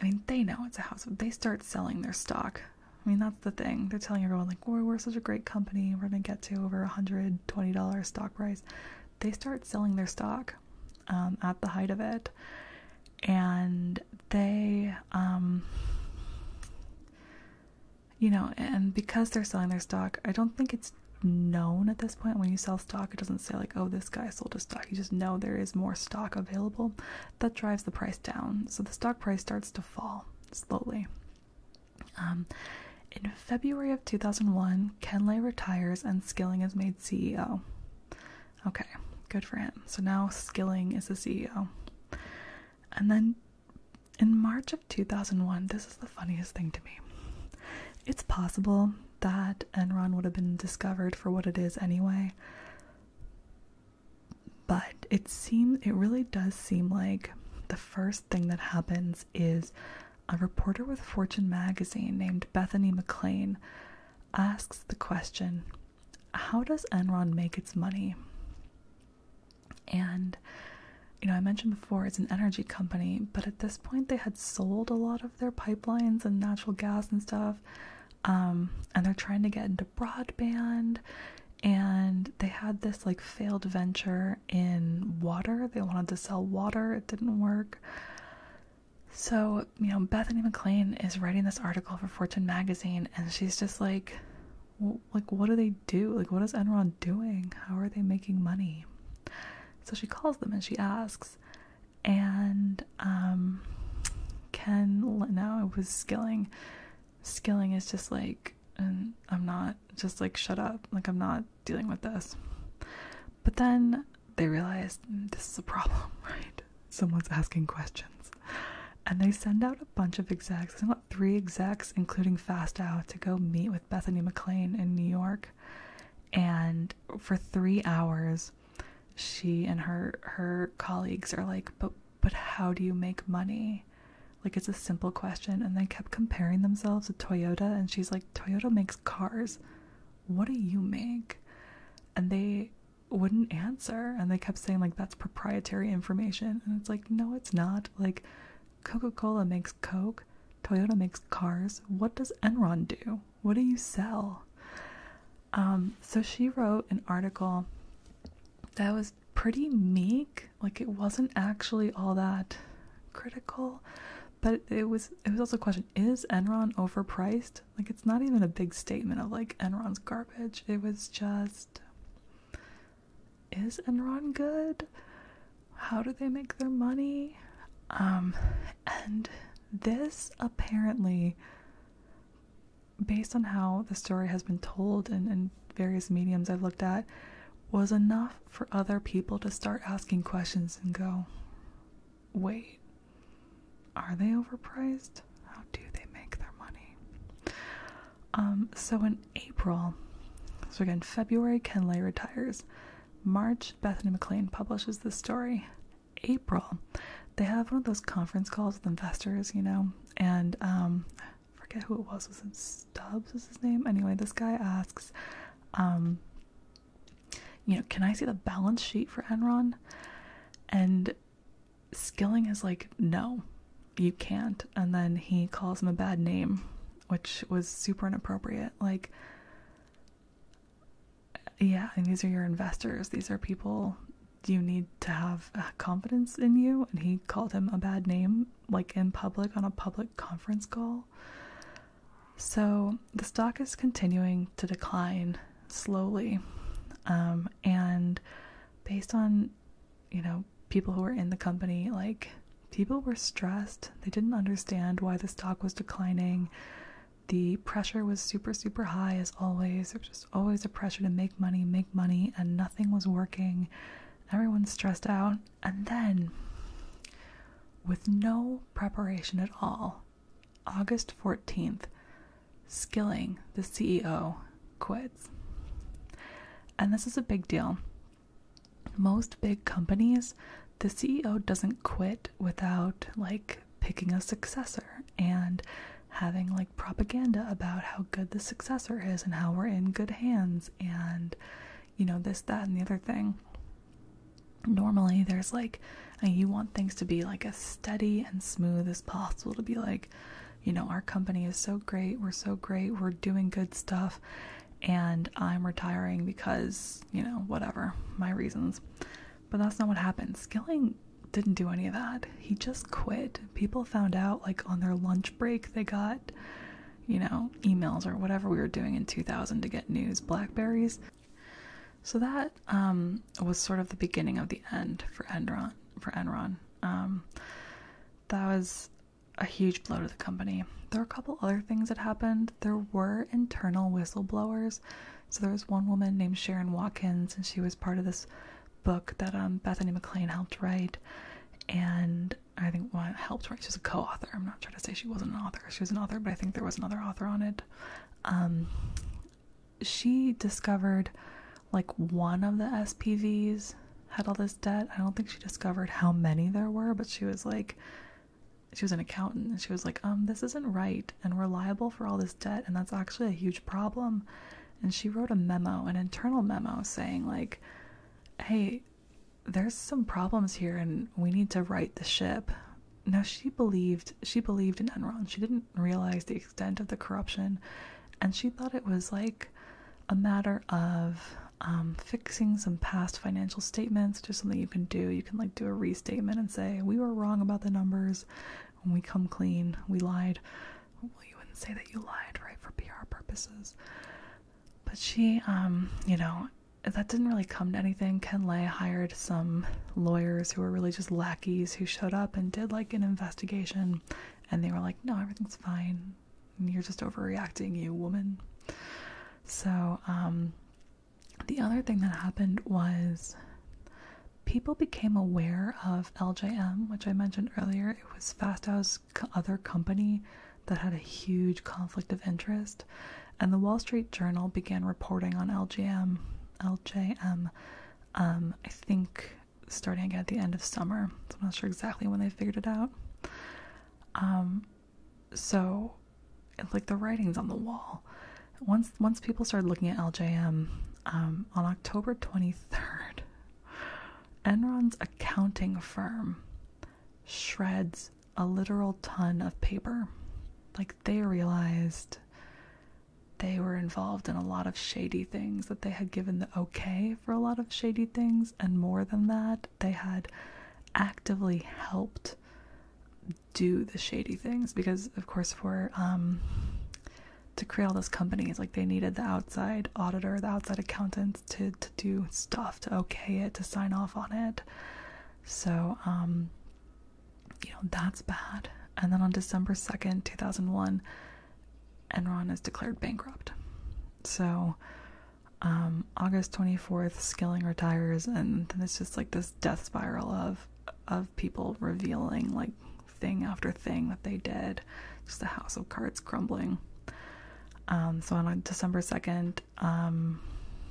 I mean, they know it's a house. They start selling their stock. I mean, that's the thing. They're telling everyone, like, we're, we're such a great company. We're going to get to over $120 stock price. They start selling their stock um, at the height of it. And they, um, you know, and because they're selling their stock, I don't think it's known at this point when you sell stock it doesn't say like oh this guy sold his stock you just know there is more stock available that drives the price down so the stock price starts to fall slowly um, in february of 2001 Ken Lay retires and skilling is made ceo okay good for him so now skilling is the ceo and then in march of 2001 this is the funniest thing to me it's possible that left, Enron would have been discovered for what it is anyway. But it seems it really does seem like the first thing that happens is a reporter with Fortune magazine named Bethany McLean asks the question, how does Enron make its money? And you know, I mentioned before it's an energy company, but at this point they had sold a lot of their pipelines and natural gas and stuff. Um, and they're trying to get into broadband. And they had this like failed venture in water. They wanted to sell water, it didn't work. So, you know, Bethany McLean is writing this article for Fortune magazine and she's just like like what do they do? Like what is Enron doing? How are they making money? So she calls them and she asks, and um, Ken. Now it was Skilling. Skilling is just like, and I'm not just like shut up. Like I'm not dealing with this. But then they realized hmm, this is a problem, right? Someone's asking questions. And they send out a bunch of execs, send out three execs, including Fastow, to go meet with Bethany McLean in New York and for 3 hours she and her her colleagues are like but but how do you make money like it's a simple question and they kept comparing themselves to Toyota and she's like Toyota makes cars what do you make and they wouldn't answer and they kept saying like that's proprietary information and it's like no it's not like Coca-Cola makes Coke Toyota makes cars. What does Enron do? What do you sell? Um, so she wrote an article that was pretty meek. Like it wasn't actually all that critical, but it was. It was also a question: Is Enron overpriced? Like it's not even a big statement of like Enron's garbage. It was just, is Enron good? How do they make their money? Um, and this apparently, based on how the story has been told and, and various mediums I've looked at, was enough for other people to start asking questions and go, wait, are they overpriced? How do they make their money? Um, so in April, so again, February, Kenley retires. March, Bethany McLean publishes this story. April, they have one of those conference calls with investors, you know, and um, forget who it was. Was Stubbs? Was his name? Anyway, this guy asks, um, you know, can I see the balance sheet for Enron? And Skilling is like, no, you can't. And then he calls him a bad name, which was super inappropriate. Like, yeah, and these are your investors. These are people you need to have uh, confidence in you. And he called him a bad name, like in public on a public conference call. So the stock is continuing to decline slowly. Um, and based on, you know, people who were in the company, like people were stressed. They didn't understand why the stock was declining. The pressure was super, super high as always. There was just always a pressure to make money, make money, and nothing was working. Everyone stressed out. And then, with no preparation at all, August 14th, Skilling, the CEO, quits. And this is a big deal. Most big companies the CEO doesn't quit without like picking a successor and having like propaganda about how good the successor is and how we're in good hands and you know this that and the other thing normally there's like you want things to be like as steady and smooth as possible to be like you know our company is so great we're so great we're doing good stuff and i'm retiring because you know whatever my reasons but that's not what happened. Skilling didn't do any of that. He just quit. People found out, like, on their lunch break, they got, you know, emails or whatever we were doing in 2000 to get news, Blackberries. So that um, was sort of the beginning of the end for Enron. For Enron, um, that was a huge blow to the company. There were a couple other things that happened. There were internal whistleblowers so there was one woman named Sharon Watkins, and she was part of this book that um, Bethany McLean helped write. And I think one helped write. She's a co-author. I'm not trying to say she wasn't an author. She was an author, but I think there was another author on it. Um, she discovered like one of the SPVs had all this debt. I don't think she discovered how many there were, but she was like, she was an accountant and she was like um this isn't right and we're liable for all this debt and that's actually a huge problem and she wrote a memo an internal memo saying like hey there's some problems here and we need to right the ship now she believed she believed in enron she didn't realize the extent of the corruption and she thought it was like a matter of um, fixing some past financial statements just something you can do you can like do a restatement and say we were wrong about the numbers when we come clean we lied well you wouldn't say that you lied right for pr purposes but she um you know that didn't really come to anything ken lay hired some lawyers who were really just lackeys who showed up and did like an investigation and they were like no everything's fine you're just overreacting you woman so um the other thing that happened was people became aware of LJM, which I mentioned earlier. It was Fastow's other company that had a huge conflict of interest, and the Wall Street Journal began reporting on LJM. LJM, um, I think, starting again at the end of summer. I'm not sure exactly when they figured it out. Um, so it's like the writing's on the wall. Once once people started looking at LJM um, on October 23rd, Enron's accounting firm shreds a literal ton of paper. Like they realized they were involved in a lot of shady things, that they had given the okay for a lot of shady things, and more than that, they had actively helped do the shady things because of course for um to create all those companies like they needed the outside auditor the outside accountant to to do stuff to okay it to sign off on it so um you know that's bad and then on december 2nd 2001 enron is declared bankrupt so um august 24th skilling retires and then it's just like this death spiral of of people revealing like thing after thing that they did. Just a house of cards crumbling. Um, so on December 2nd, um,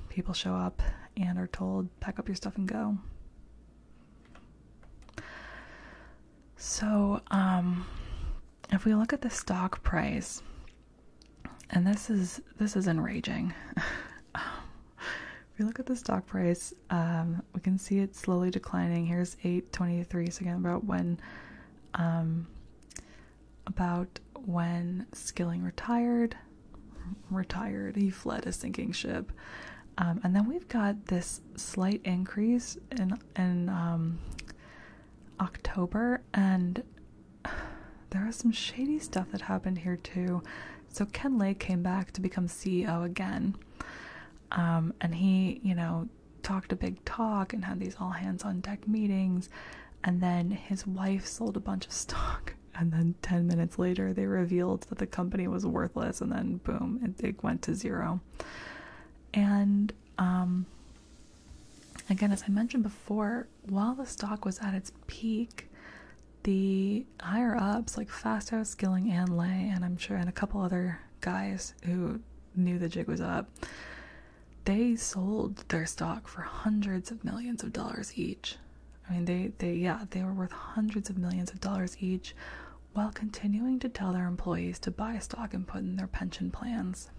people show up and are told, pack up your stuff and go. So, um, if we look at the stock price, and this is this is enraging. if we look at the stock price um, we can see it slowly declining. Here's 823, so again about when um, about when Skilling retired. Retired, he fled a sinking ship. Um, and then we've got this slight increase in in um, October, and there was some shady stuff that happened here too. So Ken Kenley came back to become CEO again. Um, and he, you know, talked a big talk and had these all hands on deck meetings. And then his wife sold a bunch of stock. And then 10 minutes later, they revealed that the company was worthless. And then, boom, it, went to zero. And um, again, as I mentioned before, while the stock was at its peak, the higher ups like Fasto, Skilling, and Lay, and I'm sure, and a couple other guys who knew the jig was up, they sold their stock for hundreds of millions of dollars each. I mean, they, they, yeah, they were worth hundreds of millions of dollars each while continuing to tell their employees to buy stock and put in their pension plans.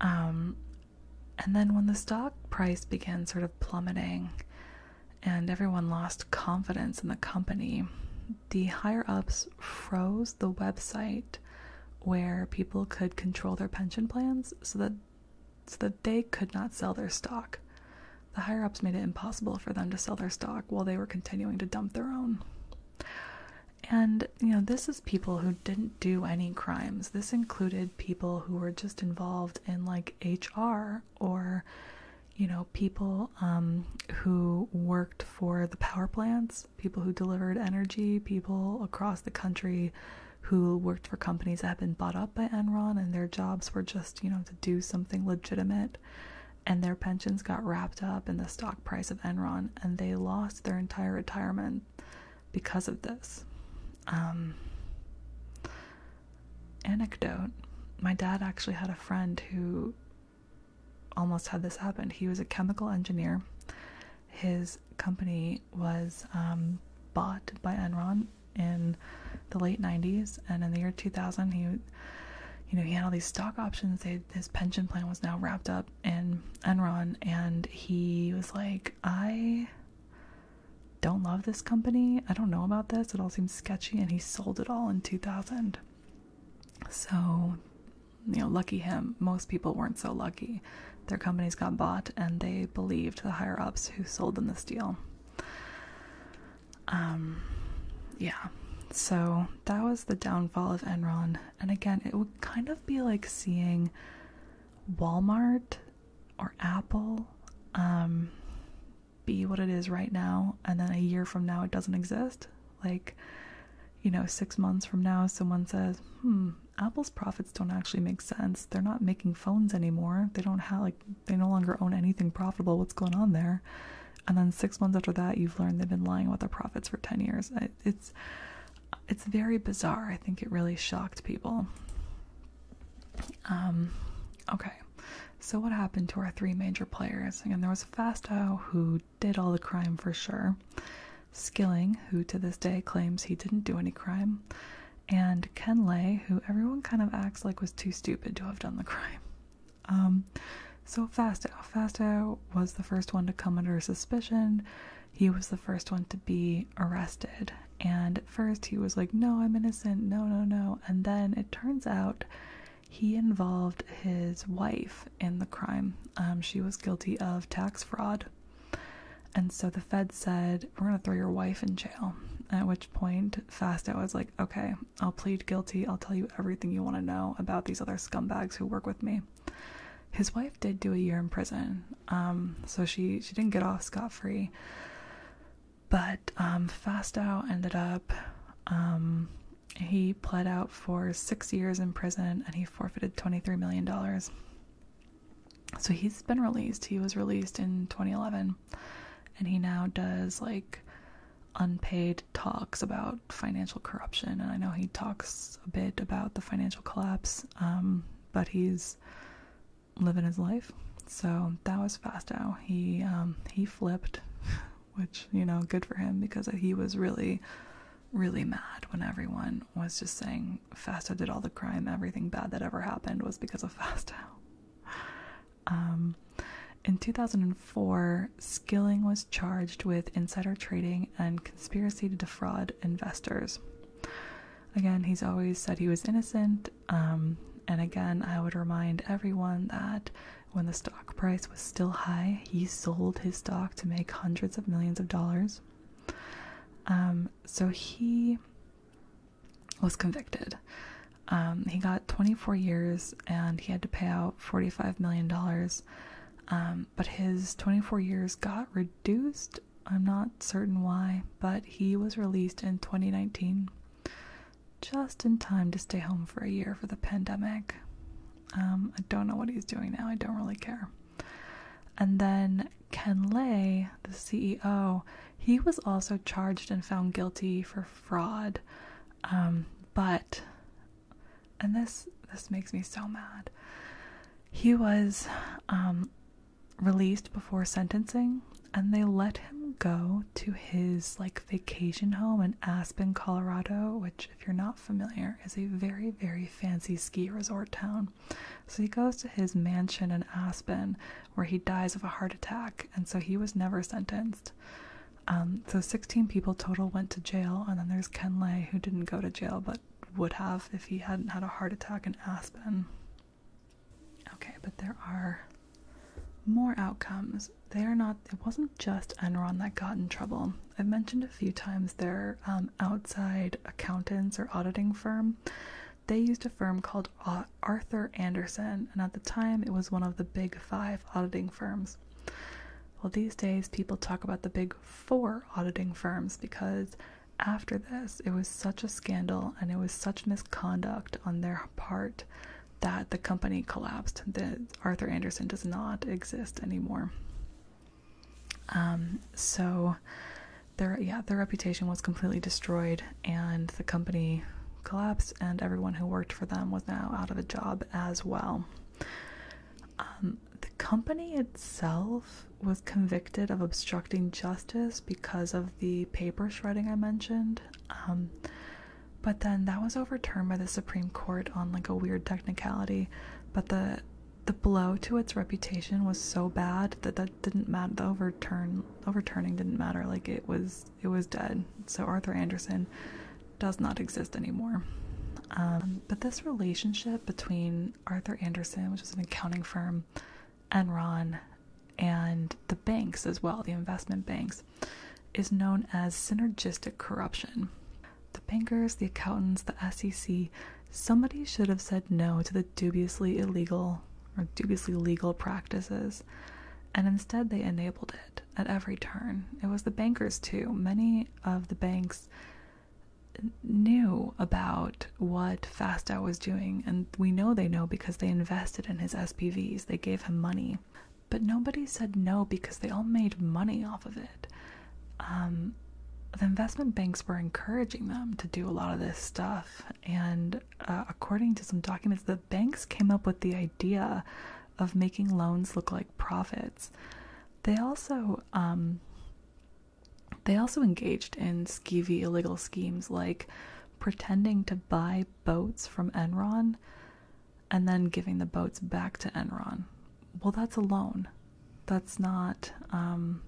Um, and then when the stock price began sort of plummeting, and everyone lost confidence in the company. The higher ups froze the website where people could control their pension plans so that so that they could not sell their stock. The higher ups made it impossible for them to sell their stock while they were continuing to dump their own. And, you know, this is people who didn't do any crimes. This included people who were just involved in like HR or you know people um, who worked for the power plants people who delivered energy people across the country who worked for companies that had been bought up by enron and their jobs were just you know to do something legitimate and their pensions got wrapped up in the stock price of enron and they lost their entire retirement because of this um, anecdote. My dad actually had a friend who almost had this happen. He was a chemical engineer. His company was um, bought by Enron in the late 90s, and in the year 2000, he you know, he had all these stock options. his pension plan was now wrapped up in Enron, and he was like, I don't love this company. I don't know about this. It all seems sketchy, and he sold it all in 2000. So, you know, lucky him. Most people weren't so lucky. Their companies got bought, and they believed the higher ups who sold them the deal. Um, yeah. So that was the downfall of Enron. And again, it would kind of be like seeing Walmart or Apple. Um, be what it is right now and then a year from now it doesn't exist like you know 6 months from now someone says hmm apple's profits don't actually make sense they're not making phones anymore they don't have like they no longer own anything profitable what's going on there and then 6 months after that you've learned they've been lying about their profits for 10 years it's it's very bizarre i think it really shocked people um Okay, so what happened to our three major players? Again, there was Fasto who did all the crime for sure, Skilling, who to this day claims he didn't do any crime, and Ken Lay who everyone kind of acts like was too stupid to have done the crime. Um, so Fasto, Fastow was the first one to come under suspicion. He was the first one to be arrested and at first he was like, No, I'm innocent, no, no, no. And then it turns out he involved his wife in the crime. Um, she was guilty of tax fraud. And so the Fed said, We're going to throw your wife in jail. At which point, Fasto was like, Okay, I'll plead guilty. I'll tell you everything you want to know about these other scumbags who work with me. His wife did do a year in prison. Um, so she, she didn't get off scot free. But um, Fastow ended up, um, he pled out for six years in prison and he forfeited $23 million. So he's been released. He was released in 2011 and he now does like unpaid talks about financial corruption. And I know he talks a bit about the financial collapse, um, but he's living his life. So that was Fastow. He um, he flipped, which you know, good for him because he was really, really mad when everyone was just saying Fastow did all the crime. Everything bad that ever happened was because of Fastow. Um, in 2004, Skilling was charged with insider trading and conspiracy to defraud investors. Again, he's always said he was innocent um, and again, I would remind everyone that when the stock price was still high, he sold his stock to make hundreds of millions of dollars. Um, so he was convicted. Um, he got 24 years and he had to pay out $45 million. but his 24 years got reduced. I'm not certain why, but he was released in 2019 just in time to stay home for a year for the pandemic. Um, I don't know what he's doing now, I don't really care. And then Ken Lay, the CEO, he was also charged and found guilty for fraud. Um, but, and this this makes me so mad. He was um, released before sentencing, and they let him go to his like vacation home in Aspen, Colorado, which if you're not familiar is a very very fancy ski resort town. So he goes to his mansion in Aspen where he dies of a heart attack and so he was never sentenced. Um, so 16 people total went to jail and then there's Ken Lay who didn't go to jail but would have if he hadn't had a heart attack in Aspen. Okay, but there are more outcomes. They are not. It wasn't just Enron that got in trouble. I've mentioned a few times their um, outside accountants or auditing firm. They used a firm called Arthur Anderson, and at the time, it was one of the big five auditing firms. Well, these days, people talk about the big four auditing firms because after this, it was such a scandal and it was such misconduct on their part that the company collapsed, that Arthur Anderson does not exist anymore. Um, so their yeah, their reputation was completely destroyed and the company collapsed and everyone who worked for them was now out of a job as well. Um, the company itself was convicted of obstructing justice because of the paper shredding I mentioned. Um, but then that was overturned by the Supreme Court on like a weird technicality. But the the blow to its reputation was so bad that that didn't matter. The overturn overturning didn't matter. Like it was it was dead. So Arthur Anderson does not exist anymore. Um, but this relationship between Arthur Anderson, which was an accounting firm, and Ron and the banks as well, the investment banks, is known as synergistic corruption. The bankers, the accountants, the SEC, somebody should have said no to the dubiously illegal or dubiously legal practices, and instead they enabled it at every turn. It was the bankers, too. Many of the banks knew about what Fastow was doing, and we know they know because they invested in his SPVs. They gave him money but nobody said no because they all made money off of it. Um, the investment banks were encouraging them to do a lot of this stuff, and uh, according to some documents, the banks came up with the idea of making loans look like profits. They also um, they also engaged in skeevy illegal schemes like pretending to buy boats from Enron and then giving the boats back to Enron. Well, that's a loan. That's not um,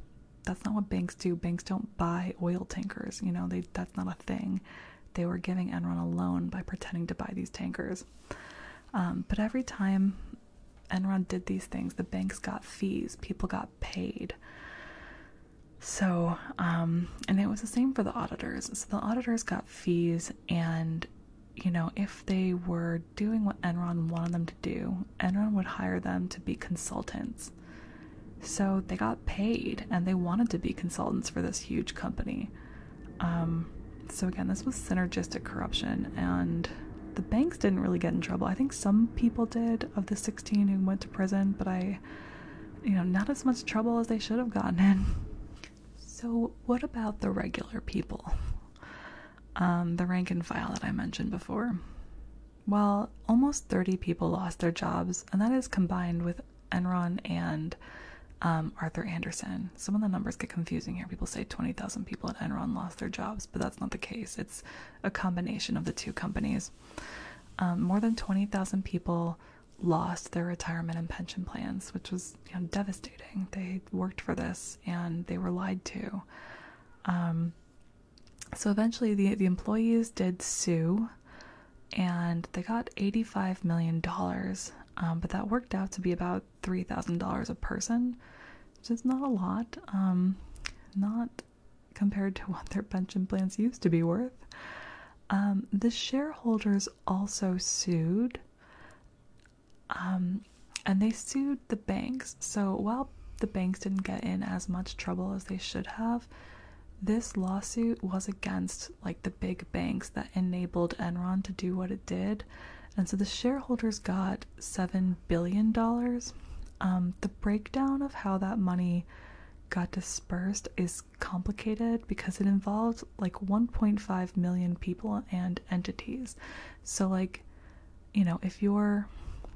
that's not what banks do. Banks don't buy oil tankers. You know, they that's not a thing. They were giving Enron a loan by pretending to buy these tankers. Um, but every time Enron did these things, the banks got fees. People got paid. So, um, and it was the same for the auditors. So the auditors got fees, and you know, if they were doing what Enron wanted them to do, Enron would hire them to be consultants. So they got paid, and they wanted to be consultants for this huge company. Um, so again, this was synergistic corruption, and the banks didn't really get in trouble. I think some people did of the 16 who went to prison, but I you know not as much trouble as they should have gotten in so what about the regular people um, the rank and file that i mentioned before well almost 30 people lost their jobs and that is combined with enron and um, arthur anderson some of the numbers get confusing here people say 20000 people at enron lost their jobs but that's not the case it's a combination of the two companies um, more than 20000 people lost their retirement and pension plans, which was devastating. They worked for this and they were lied to. Um, so eventually, the the employees did sue, and they got eighty five million dollars. Um, but that worked out to be about three thousand dollars a person, which is not a lot. Um, not compared to what their pension plans used to be worth. Um, the shareholders also sued, um, and they sued the banks. So while the banks didn't get in as much trouble as they should have, this lawsuit was against like the big banks that enabled Enron to do what it did. And so the shareholders got $7 billion. Um, the breakdown of how that money got dispersed is complicated because it involved like 1.5 million people and entities. So, like, you know, if your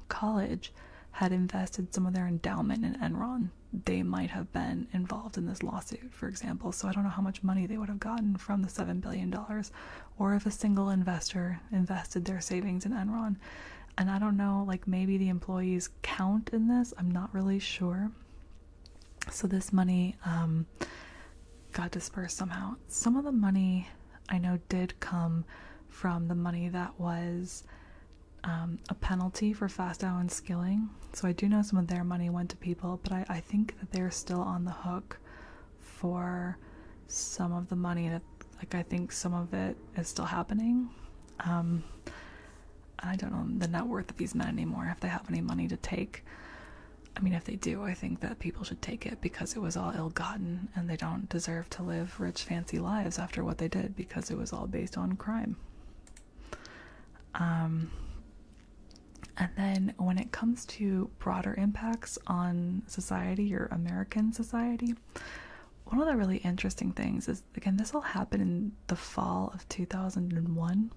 college had invested some of their endowment in Enron, they might have been involved in this lawsuit, for example. So, I don't know how much money they would have gotten from the $7 billion or if a single investor invested their savings in Enron. And I don't know, like, maybe the employees count in this. I'm not really sure so this money um, got dispersed somehow. Some of the money I know did come from the money that was um, a penalty for fast Fastow and Skilling. So I do know some of their money went to people, but I, think that they're still on the hook for some of the money like, I think some of it is still happening. Um, I don't know the net worth of these men anymore if they have any money to take. I mean, if they do, I think that people should take it because it was all ill gotten and they don't deserve to live rich, fancy lives after what they did because it was all based on crime. Um, and then when it comes to broader impacts on society your American society, one of the really interesting things is again, this all happened in the fall of 2001.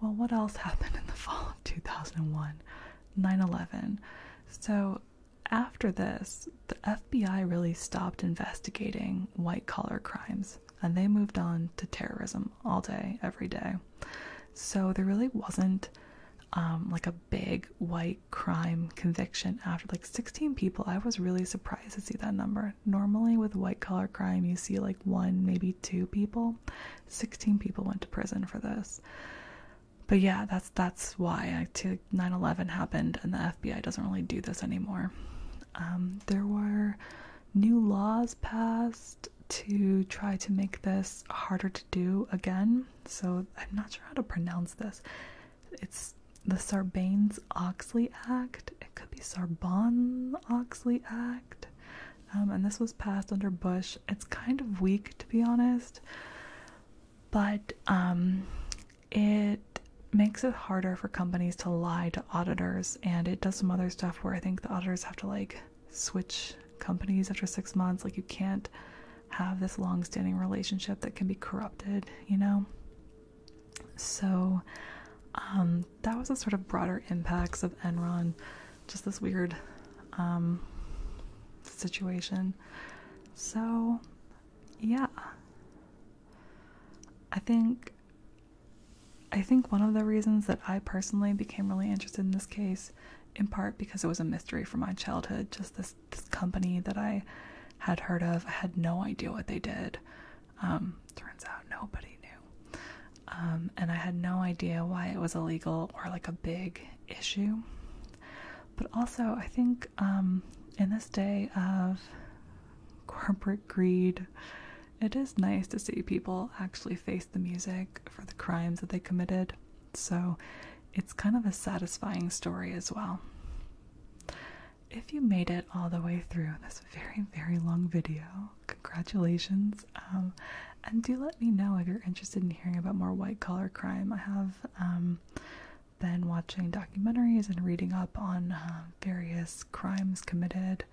Well, what else happened in the fall of 2001? 9 11. So, after this, the FBI really stopped investigating white collar crimes and they moved on to terrorism all day, every day. So, there really wasn't um, like a big white crime conviction after like 16 people. I was really surprised to see that number. Normally, with white collar crime, you see like one, maybe two people. 16 people went to prison for this. But yeah, that's that's why 9/11 happened, and the FBI doesn't really do this anymore. Um, there were new laws passed to try to make this harder to do again. So I'm not sure how to pronounce this. It's the Sarbanes Oxley Act. It could be Sarban Oxley Act. Um, and this was passed under Bush. It's kind of weak, to be honest, but um, it makes it harder for companies to lie to auditors, and it does some other stuff where I think the auditors have to like switch companies after six months. Like, you can't have this long standing relationship that can be corrupted, you know? So, um, that was the sort of broader impacts of Enron, just this weird um, situation. So, yeah, I think I think one of the reasons that I personally became really interested in this case, in part because it was a mystery from my childhood, just this company that I had heard of, I had no idea what they did. Um, turns out nobody knew. Um, and I had no idea why it was illegal or like a big issue. But also, I think um, in this day of corporate greed, it is nice to see people actually face the music for the crimes that they committed. So it's kind of a satisfying story as well. If you made it all the way through this very, very long video, congratulations. Um, and do let me know if you're interested in hearing about more white collar crime. I have um, been watching documentaries and reading up on uh, various crimes committed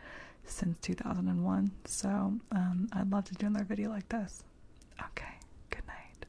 since 2001. So um, I'd love to do another video like this. Okay, good night.